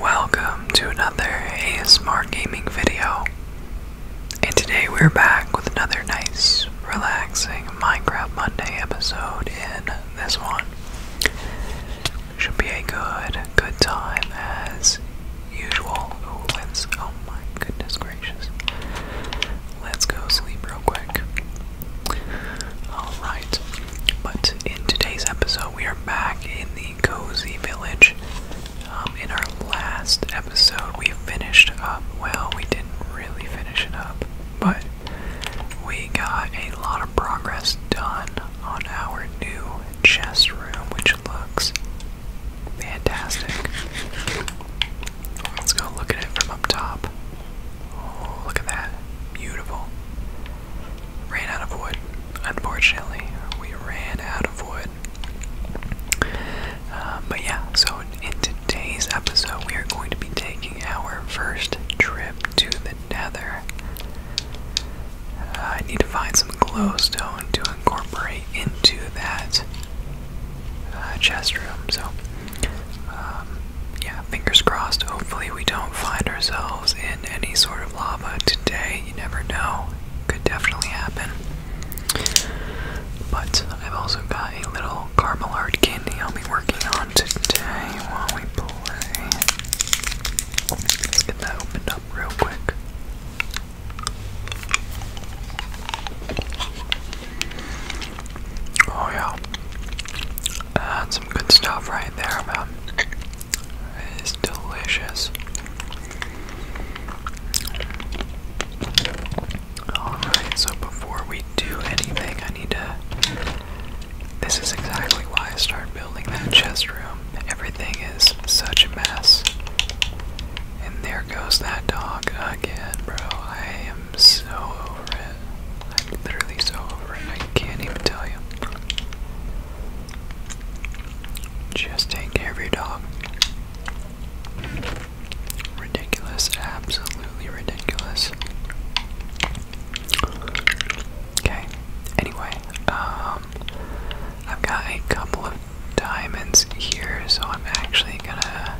Welcome to another ASMR gaming video. And today we're back with another nice, relaxing Minecraft Monday episode in this one. Should be a good, good time as usual. Ooh, let's oh my goodness gracious. Let's go sleep real quick. Alright. But in today's episode, we are back in the cozy village. Um, in our last episode, we finished up. Well, we didn't really finish it up, but we got a lot of progress done on our new chest room, which looks fantastic. Let's go look at it from up top. Oh, look at that. Beautiful ran out of wood. Unfortunately, we ran out of wood. Um, but yeah, so in today's episode, we are going to be taking our first trip to the Nether. Uh, I need to find some glowstone to incorporate into that uh, chest room. So, um, yeah, fingers crossed, hopefully we don't find ourselves in any sort of lava today. You never know. Could definitely happen. But I've also got a little caramel art candy I'll be working on today while we play. Let's get that opened up real quick. Oh yeah. That's uh, some good stuff right there, man. It is delicious. Alright, so before we do anything, I need to. This is exactly why I started building that chest room. Everything is such a mess. And there goes that dog again, bro. I am so over I'm literally so over it, I can't even tell you. Just take care of your dog. Ridiculous, absolutely ridiculous. Okay, anyway, um, I've got a couple of diamonds here, so I'm actually gonna.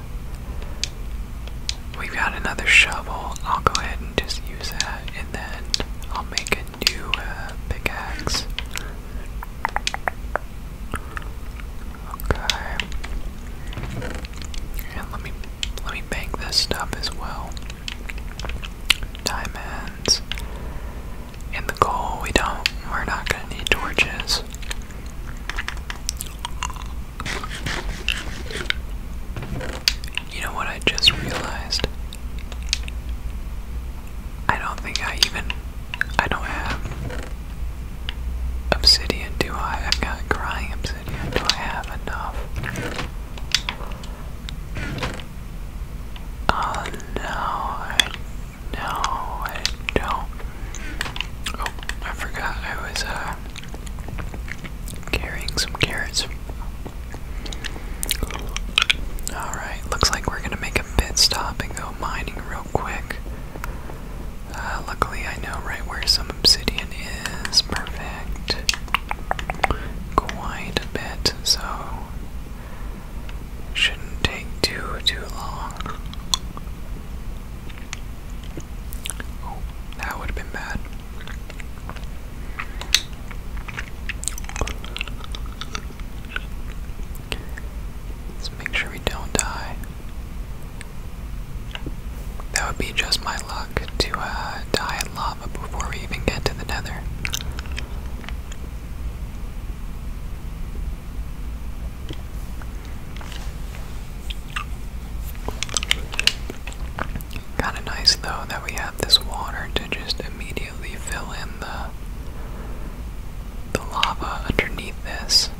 We've got another shovel. I'll go ahead and just use that then I'll make a new uh, pickaxe. Okay. And let me let me bank this stuff as well. Diamonds. And the coal we don't we're not gonna need torches. You know what I just realized? I don't think I even. I don't have obsidian, do I? I've got crying obsidian. Do I have enough? Oh no, No, I don't. Oh, I forgot I was, uh, Carrying some carrots Alright, looks like we're gonna make a pit stop and go mining real quick. Uh, luckily, I know right where some obsidian is. Perfect. Quite a bit, so shouldn't take too too long. Oh, that would have been bad. Let's make sure we don't die. That would be just my luck to uh, die in lava before we even get to the nether. Kind of nice though that we have this water to just immediately fill in the the lava underneath this.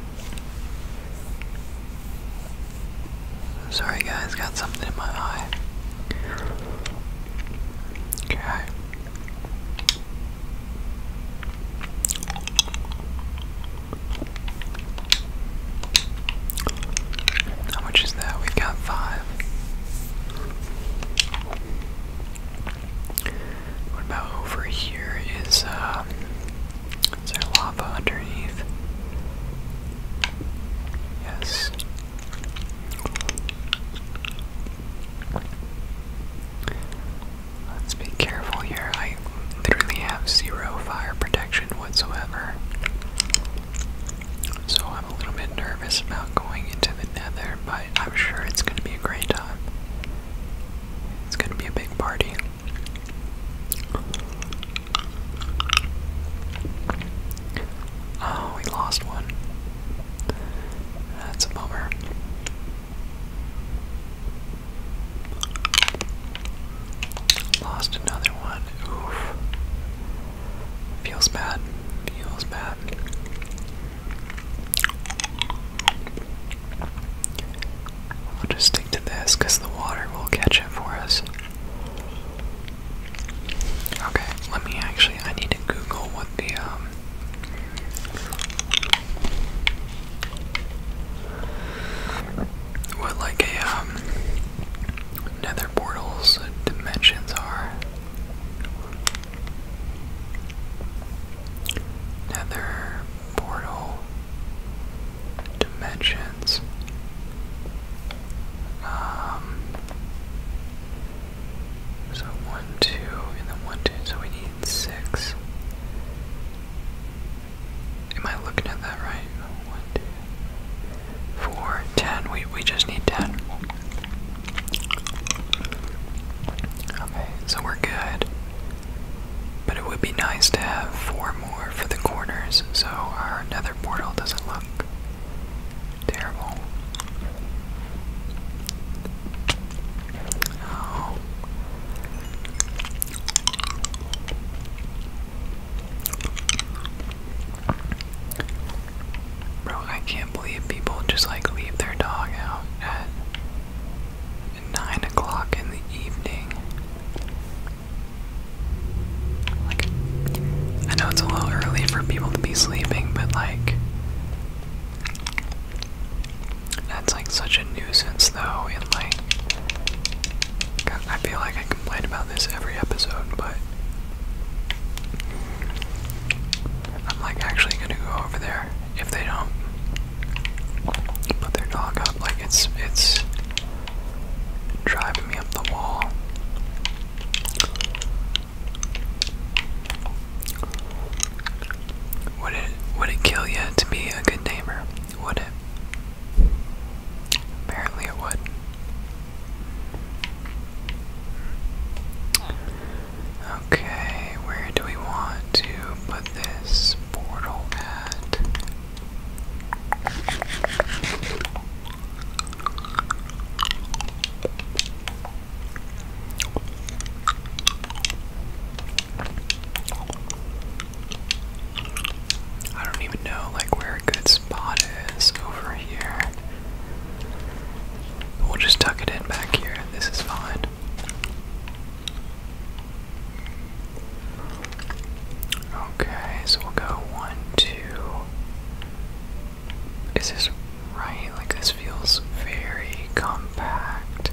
Sorry guys, got something in my eye. Okay. How much is that? We've got five. What about over here? Is um, is there lava underneath? Yes. Let's be careful here. I literally have zero fire protection whatsoever. So I'm a little bit nervous about going into the nether, but I'm sure it's going to be a great time. It's going to be a big party. Oh, we lost one. That's a bummer. Lost another one. Oof. Feels bad. Feels bad. We'll just stick to this because the water will catch it for us. Okay, let me actually. I need to Google what the um. What like a um nether portals uh, dimensions are. Nether portal dimensions. Um so one, two, and then one, two, so we need six. Am I looking at that right? One, two for We, we just need 10. Okay, so we're good. But it would be nice to have four more for the corners so our nether portal doesn't look terrible. Oh. Bro, I can't believe people just like leave their dog out at 9 o'clock in the evening. Like, I know it's a little early for people to be sleeping, but like, that's like such a nuisance though, in like, I feel like I complain about this every episode, but I'm like actually gonna go over there if they don't put their dog up. Like it's it's driving me up the wall. Would it would it kill you to be a good neighbor? Would it? Apparently it would. Okay, where do we want to put this portal at? I don't even know like where it good spot is over here. We'll just tuck it in back here. This is fine. Okay, so we'll go one, two. Is this right? Like, this feels very compact.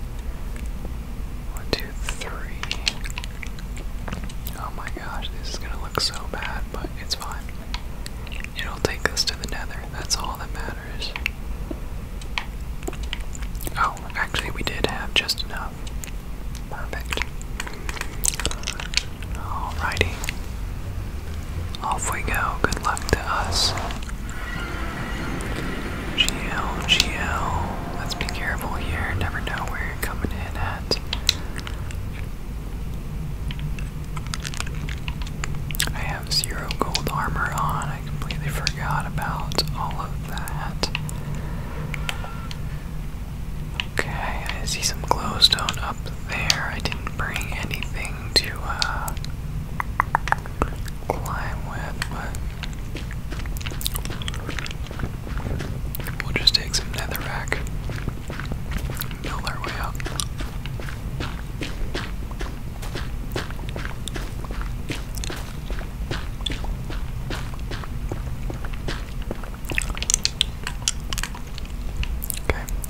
One, two, three. Oh my gosh, this is gonna look so bad, but it's fine. It'll take us to the nether, that's all that matters. Oh, actually, we did have just enough. Perfect. Alrighty. Off we go. Good luck to us. GL, Let's be careful here. Never know where you're coming in at. I have zero gold armor on. I completely forgot about all of that. Okay, I see some glowstone up there. I didn't bring anything to uh, climb with, but we'll just take some netherrack. Okay,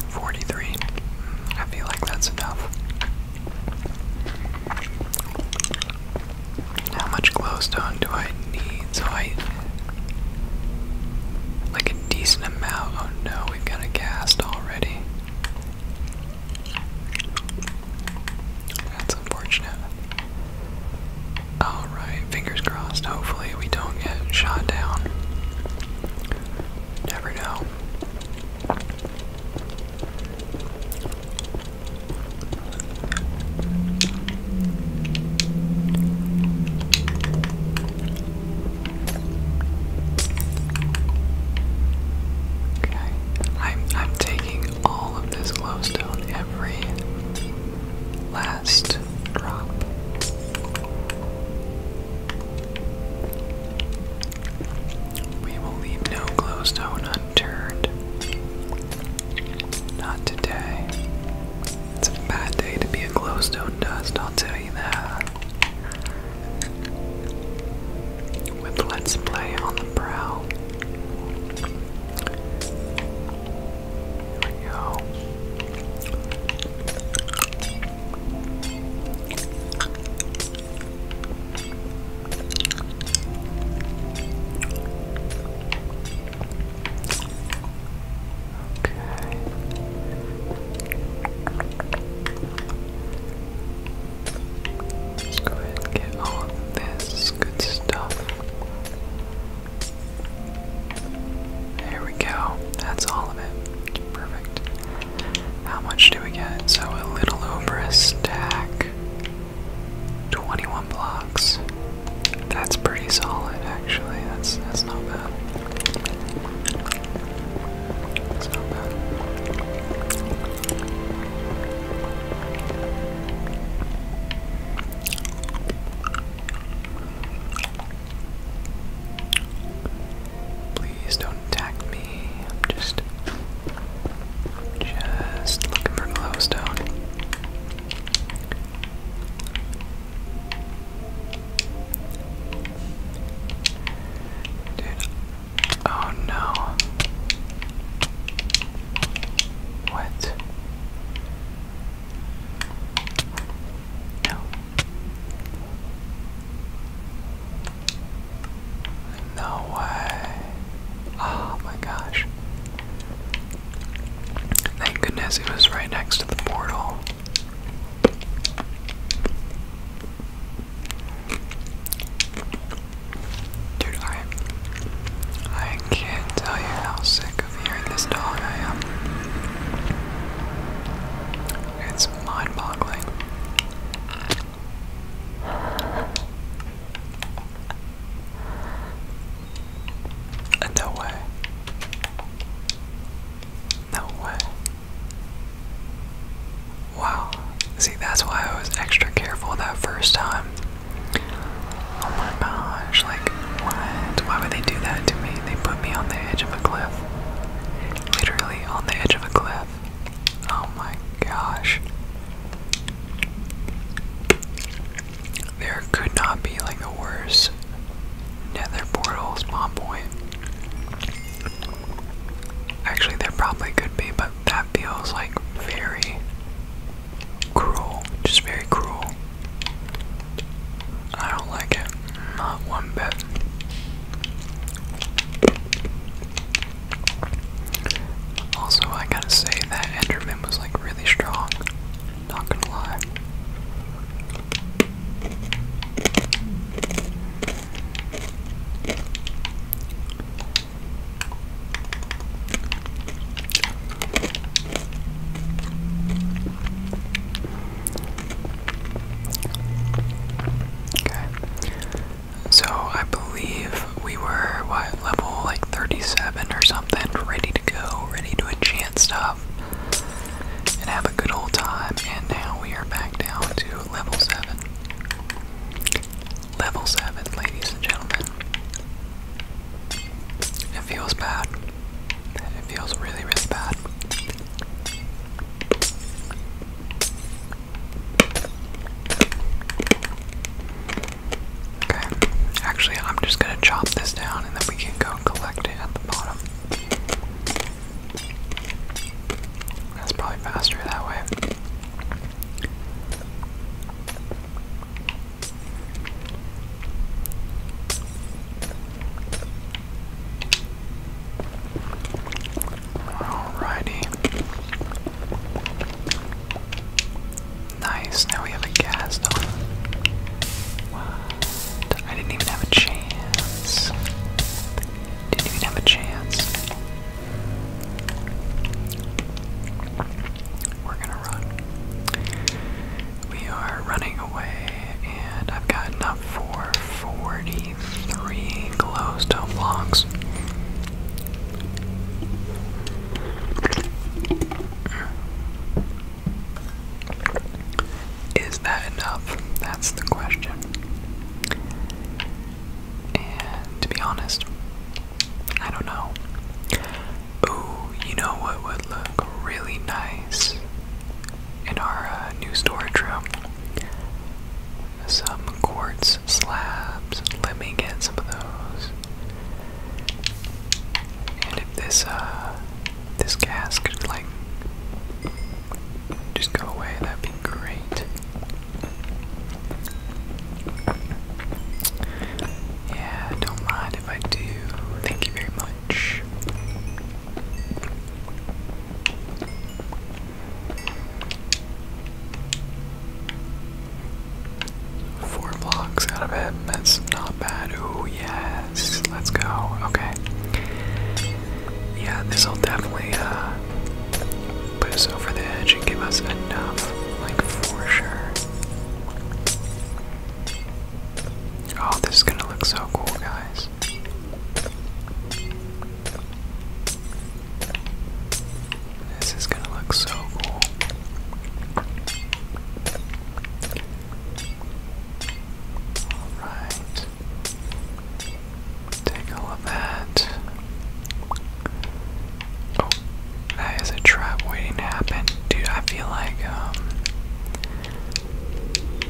43. I feel like that's enough. How much glowstone do I need? So oh, I Like a decent amount. Oh no, we've got a cast already. That's unfortunate. Alright, fingers crossed. Hopefully, we don't get shot down. Never know. Okay, I'm I'm taking all of this glowstone, every last drop. We will leave no glowstone unturned. Not today. It's a bad day to be a glowstone dust, I'll tell you that. With Let's Play on the brow. There we go. Let's go ahead and get all of this good stuff. There we go. That's all of it. Perfect. How much do we get? So a little over a stack. 21 blocks. That's pretty solid, actually. That's that's not bad. Please don't attack me. I'm just just looking for glowstone. Dude. Oh no. What? No. No way. Oh my gosh. Thank goodness it was right next to the portal. Dude, I I can't tell you how sick of hearing this dog I am. It's mind-boggling. Uh, no way. No way. Wow. See, that's why I was extra careful that first time. Oh my gosh, like, what? Why would they do that to me? They put me on the edge of a cliff. Literally on the edge of a cliff. Oh my gosh. There could not be like a worse nether portal spawn point. Actually, there probably could be, but that feels like very cruel. Just very cruel. I don't like it. Not one bit. Also, I gotta say that Enderman was like really strong. Not gonna lie. Okay. So I believe we were what level like 37 or something, ready to go, ready to enchant stuff and have a good old time. And now we are back down to level 7. Level 7, ladies and gentlemen. It feels bad. It feels really, really bad. Okay, actually, I'm just gonna chop this down and then we can go collect it at the bottom. That's probably faster that way. Alrighty. Nice, now we have a gas on. I didn't even have a chance. Didn't even have a chance. We're gonna run. We are running away, and I've got enough for 43 glowstone blocks. Is that enough? That's the question. And to be honest, I don't know. Ooh, you know what would look really nice in our uh, new storage room? Some quartz slabs. Let me get some of those. And if this uh this gas could like just go away, that'd be great. Yeah, don't mind if I do. Thank you very much. Four blocks out of it, that's not bad. Oh, yeah, let's go. Okay. Yeah, this will definitely uh, put us over the edge and give us enough, like for sure. Oh, this is gonna look so cool, guys. This is gonna look so cool. Alright. Take all of that. Oh, that is a trap waiting to happen. Dude, I feel like, um.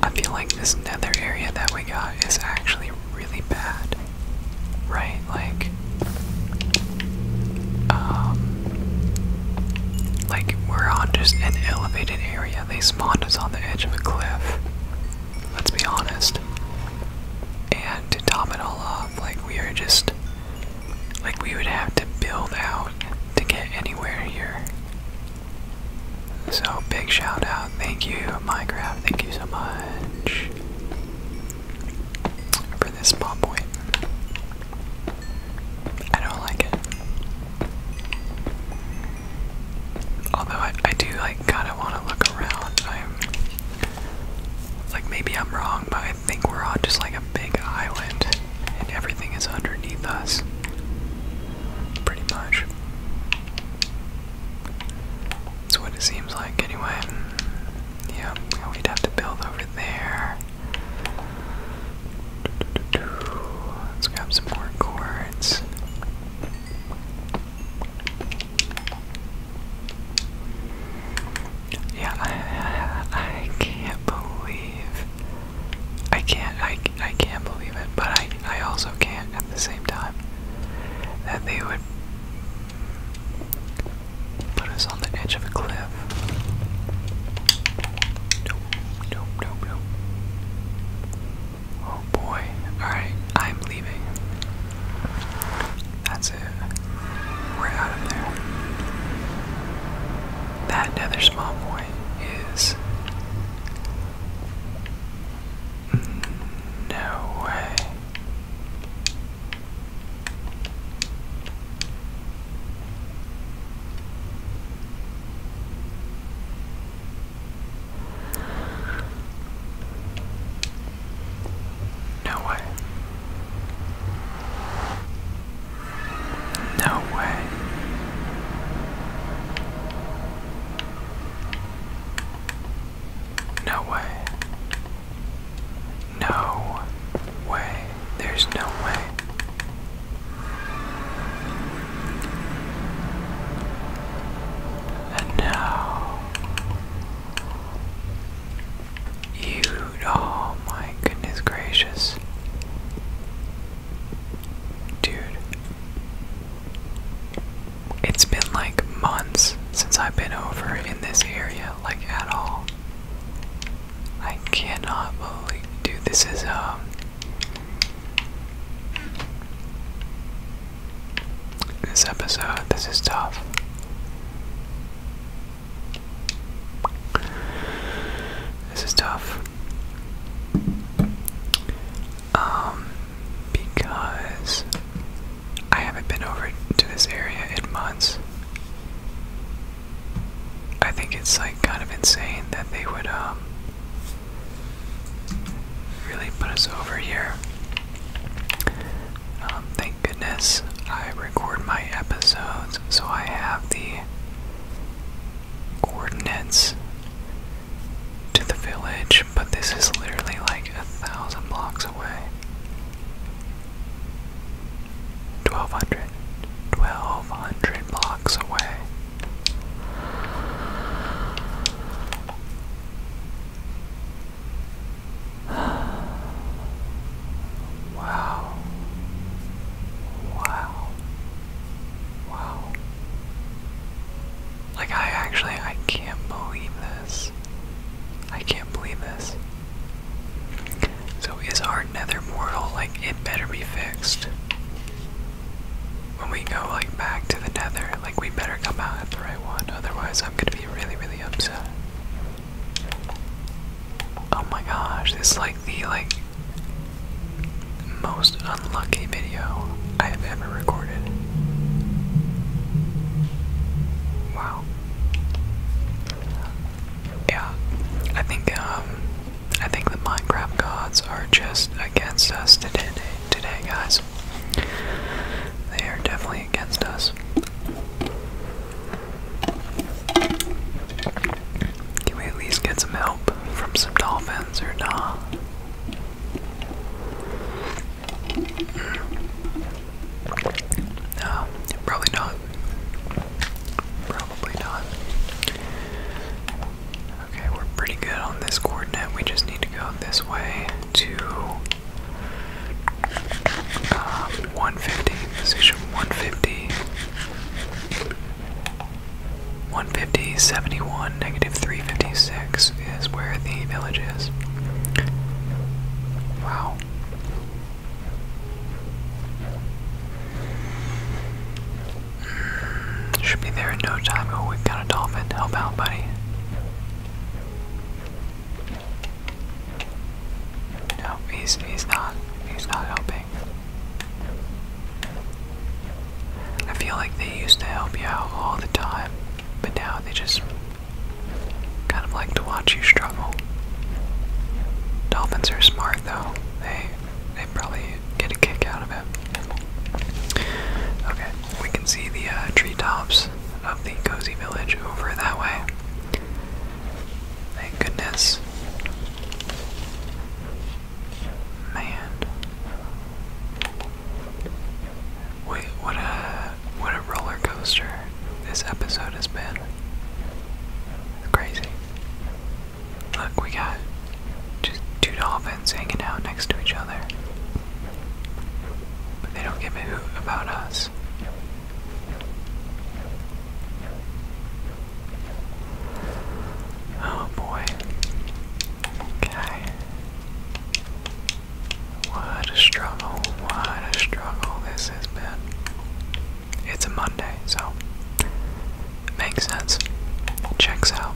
I feel like this nether area that we got is actually really bad. Right? Like, um. Like, we're on just an elevated area. They spawned us on the edge of a cliff. Let's be honest. And to top it all off, like, we are just. Like, we would have to build out to get anywhere here. So, big shout out. Thank you, Minecraft. Thank you so much for this spawn point. I don't like it. Although I, I do like kind of want to look around. I'm like maybe I'm wrong, but I think we're on just like a big island, and everything is underneath us, pretty much. That's what it seems like, anyway. Mm, yeah, we'd have to build over there. Let's grab some more cords. Yeah, I, I can't believe I can't I, I can't believe it, but I I also can't at the same time that they would put us on the edge of a cliff. Oh boy. Alright, I'm leaving. That's it. We're out of there. That nether small boy is. No way. No way. No way. No way. No way. There's no way. And now you oh my goodness gracious. Dude. It's been like months since I've been over in this area, like at all. I cannot believe, dude. This is um. This episode, this is tough. This is tough. Um, because I haven't been over to this area in months. I think it's like kind of insane that they would um really put us over here. Um, thank goodness I record my episodes, so I have the coordinates to the village, but this is literally like a thousand blocks away. 1200 blocks away Wow Wow Wow Like I actually I can't believe this I can't believe this so is our nether portal like it better be fixed? When we go like back to the nether, like we better come out at the right one, otherwise I'm gonna be really really upset. Oh my gosh, this is like the like most unlucky video I have ever recorded. Wow yeah, I think um, I think the Minecraft gods are just against us today, today, guys. They are definitely against us. Can we at least get some help from some dolphins or not? Hmm. No, probably not. Probably not. Okay, we're pretty good on this coordinate. We just need to go this way to um, 150, position 150. 150, 71, negative 356 is where the village is. Wow. Should be there in no time. Oh, we've got a Help out, buddy. No, he's, he's not. He's not helping. I feel like they used to help you out all the time, but now they just kind of like to watch you struggle. Dolphins are smart though. They they probably get a kick out of it. Okay, we can see the uh, treetops of the cozy village over that way. Thank goodness. Man. Wait, what a what a roller coaster this episode has been. crazy. Look, we got just two dolphins hanging out next to each other. But they don't give a hoot about us. Oh boy. Okay. What a struggle, what a struggle this has been it's a Monday, so makes sense. Checks out.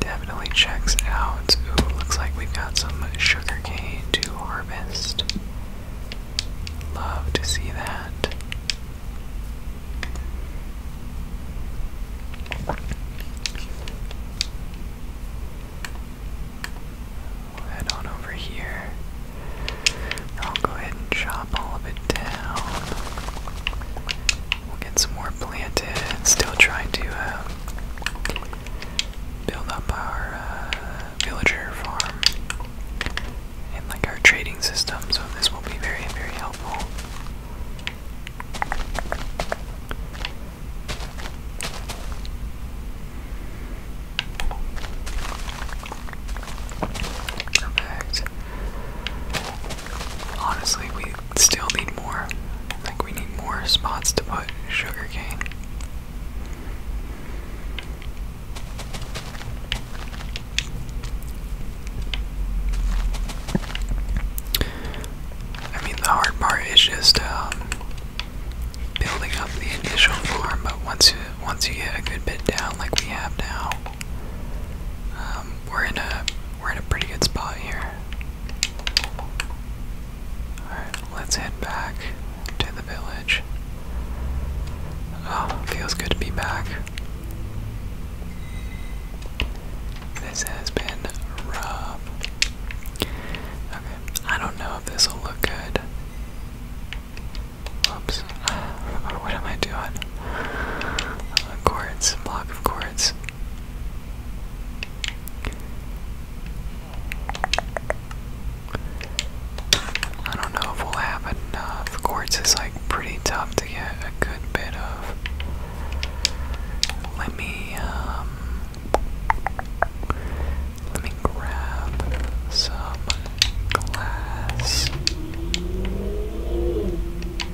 Definitely checks out. Ooh, looks like we've got some sugar cane to harvest. Love to see that head on over here. I'll go ahead and chop all of it down. We'll get some more planted. Still trying to uh, build up our uh, villager farm and like our trading system, so this will be very, very helpful. Perfect. Honestly, we still need more. Like, we need more spots to put sugarcane. I mean, the hard part is just um, building up the initial form, but once you, once you get a good bit down, like we have now, um, we're in a we're in a pretty good spot here. All right, let's head back to the village. Oh, feels good to be back. This has been rough. Okay, I don't know if this will look good. Oops. Oh, what am I doing? Uh, Block of quartz. I don't know if we'll have enough. Quartz is like pretty tough to get a good bit of. Let me, um. Let me grab some glass.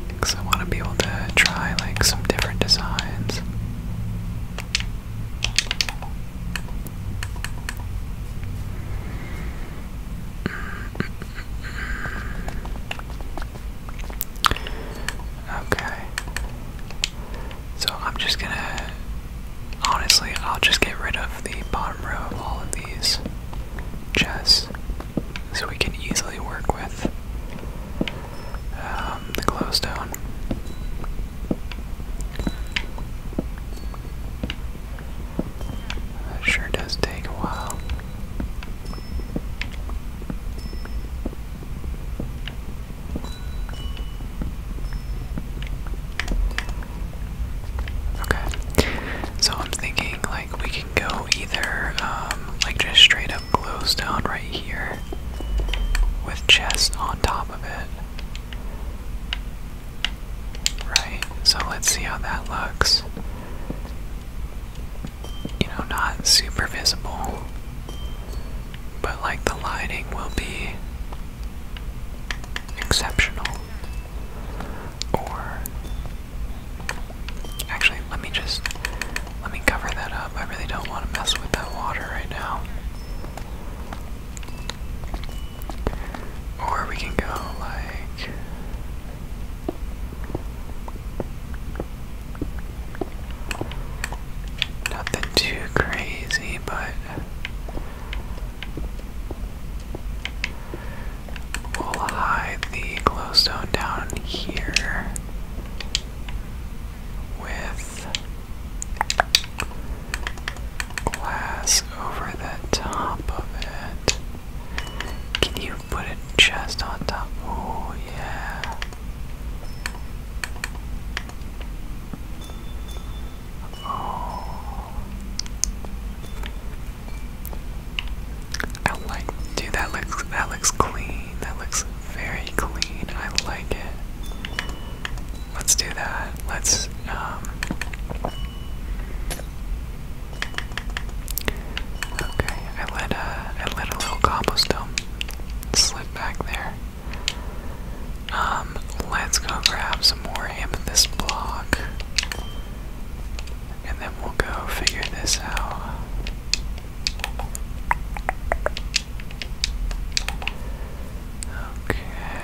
Because I want to be able to try like some different designs. Okay. So I'm just gonna Honestly, I'll just get rid of the bottom row of all of these chests so we can easily work with um, the glowstone. That sure does take a while. Okay. So I'm thinking like we can go either um, like just straight up glowstone right here with chest on top of it. Right. So let's see how that looks. You know, not super visible. But like the lighting will be exceptional. Or actually, let me just let me cover that up. I really don't want to mess with that water right now. Or we can go like nothing too crazy, but We'll hide the glowstone down here with glass over the top of it. Can you put a chest on top? Oh, yeah dude. That looks. That looks clean. That looks very clean. I like it. Let's do that. Let's. Um, okay. I let a. Uh, I let a little cobblestone slip back there. Um, let's go grab some more amethyst block. And then we'll go figure this out. Okay.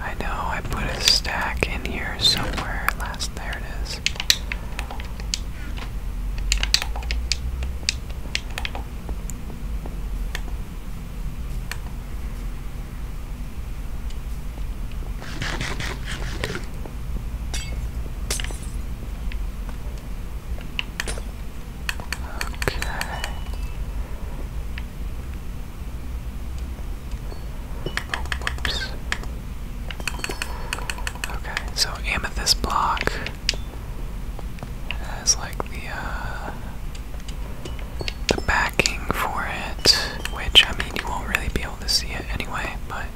I know I put a stack in here somewhere last. There it is. Okay. Oh, whoops. Okay, so amethyst block. It has like the uh the backing for it, which I mean you won't really be able to see it anyway, but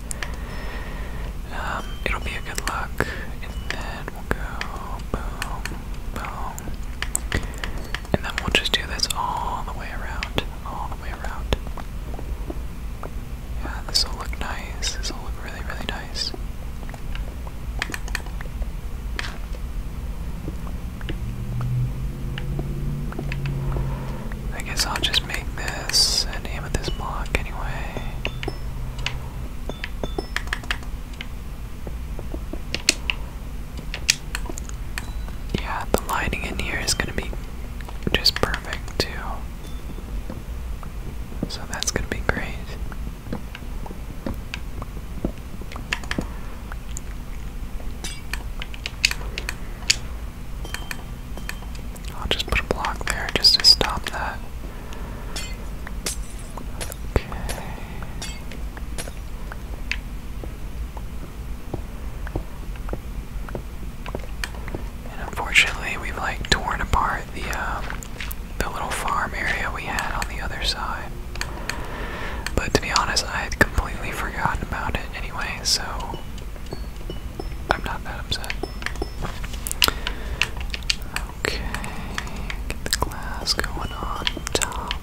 um, it'll be a good look. And then we'll go boom, boom, and then we'll just do this all the way around, all the way around. Yeah, this will look nice. This will look really, really nice. I guess I'll just make this an this block anyway. Yeah, the lighting in here is gonna be just perfect too. So that's gonna be great. I'll just put a block there just to stop that. Okay. And unfortunately, we've like torn apart the um, the little farm area we had on the other side. But to be honest, I had completely forgotten about it anyway, so I'm not that upset. Okay, get the glass going on top.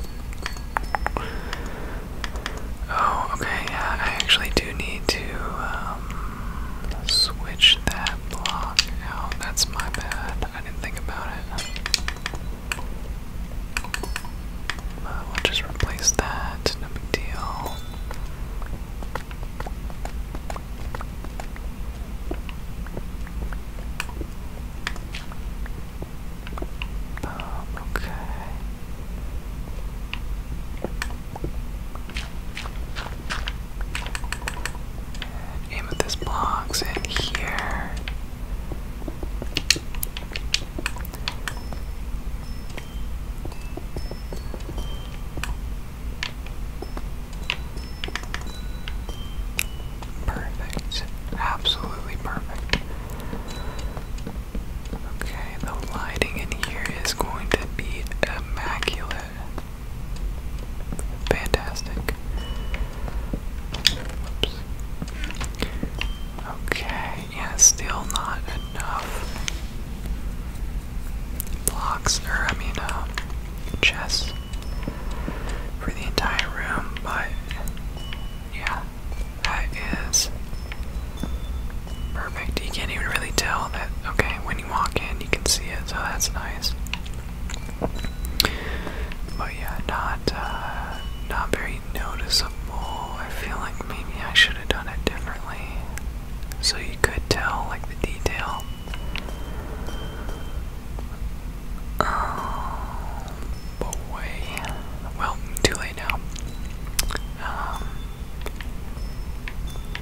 Oh, okay, yeah, I actually do need to um, switch that block out. That's my bad. I didn't think about it. we'll just replace that, no big deal. Oh, okay. Aim at this box in here. Perfect. Absolutely perfect. Okay, the lighting in here is going to be immaculate. Fantastic. Okay, yeah, still not enough blocks, or I mean, uh, chests for the entire room, but yeah, that is perfect. You can't even really tell that, okay, when you walk in, you can see it, so that's nice. But yeah, not uh, not very noticeable. I feel like maybe I should have done it differently, so you could tell like the detail. Oh um, boy! Well, too late now. Um,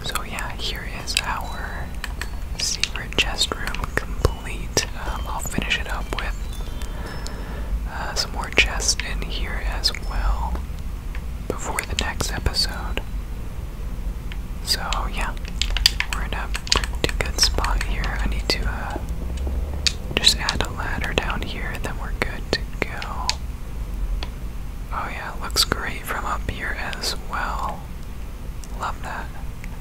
so yeah, here is our secret chest room complete. Um, I'll finish it up with uh, some more chests in here as well before the next episode. So, yeah, we're in a good spot here. I need to uh, just add a ladder down here, and then we're good to go. Oh, yeah, looks great from up here as well. Love that.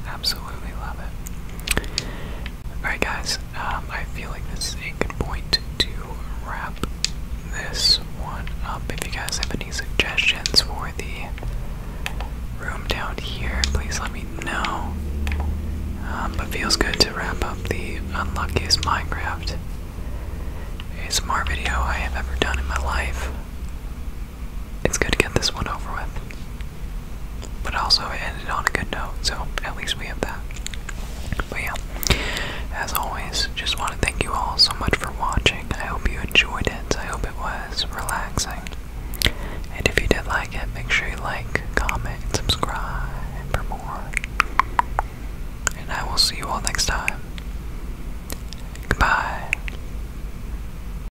Absolutely love it. Alright, guys, um, I feel like this is a good point to wrap this one up. If you guys have any suggestions for the room down here, please let me know. Um, but feels good to wrap up the unluckiest Minecraft ASMR video I have ever done in my life. It's good to get this one over with. But also, it ended on a good note, so at least we have that. But yeah, as always, just want to thank you all so much for watching. I hope you enjoyed it. I hope it was relaxing. And if you did like it, make sure you like, comment, and subscribe for more. And I will see you all next time. Goodbye.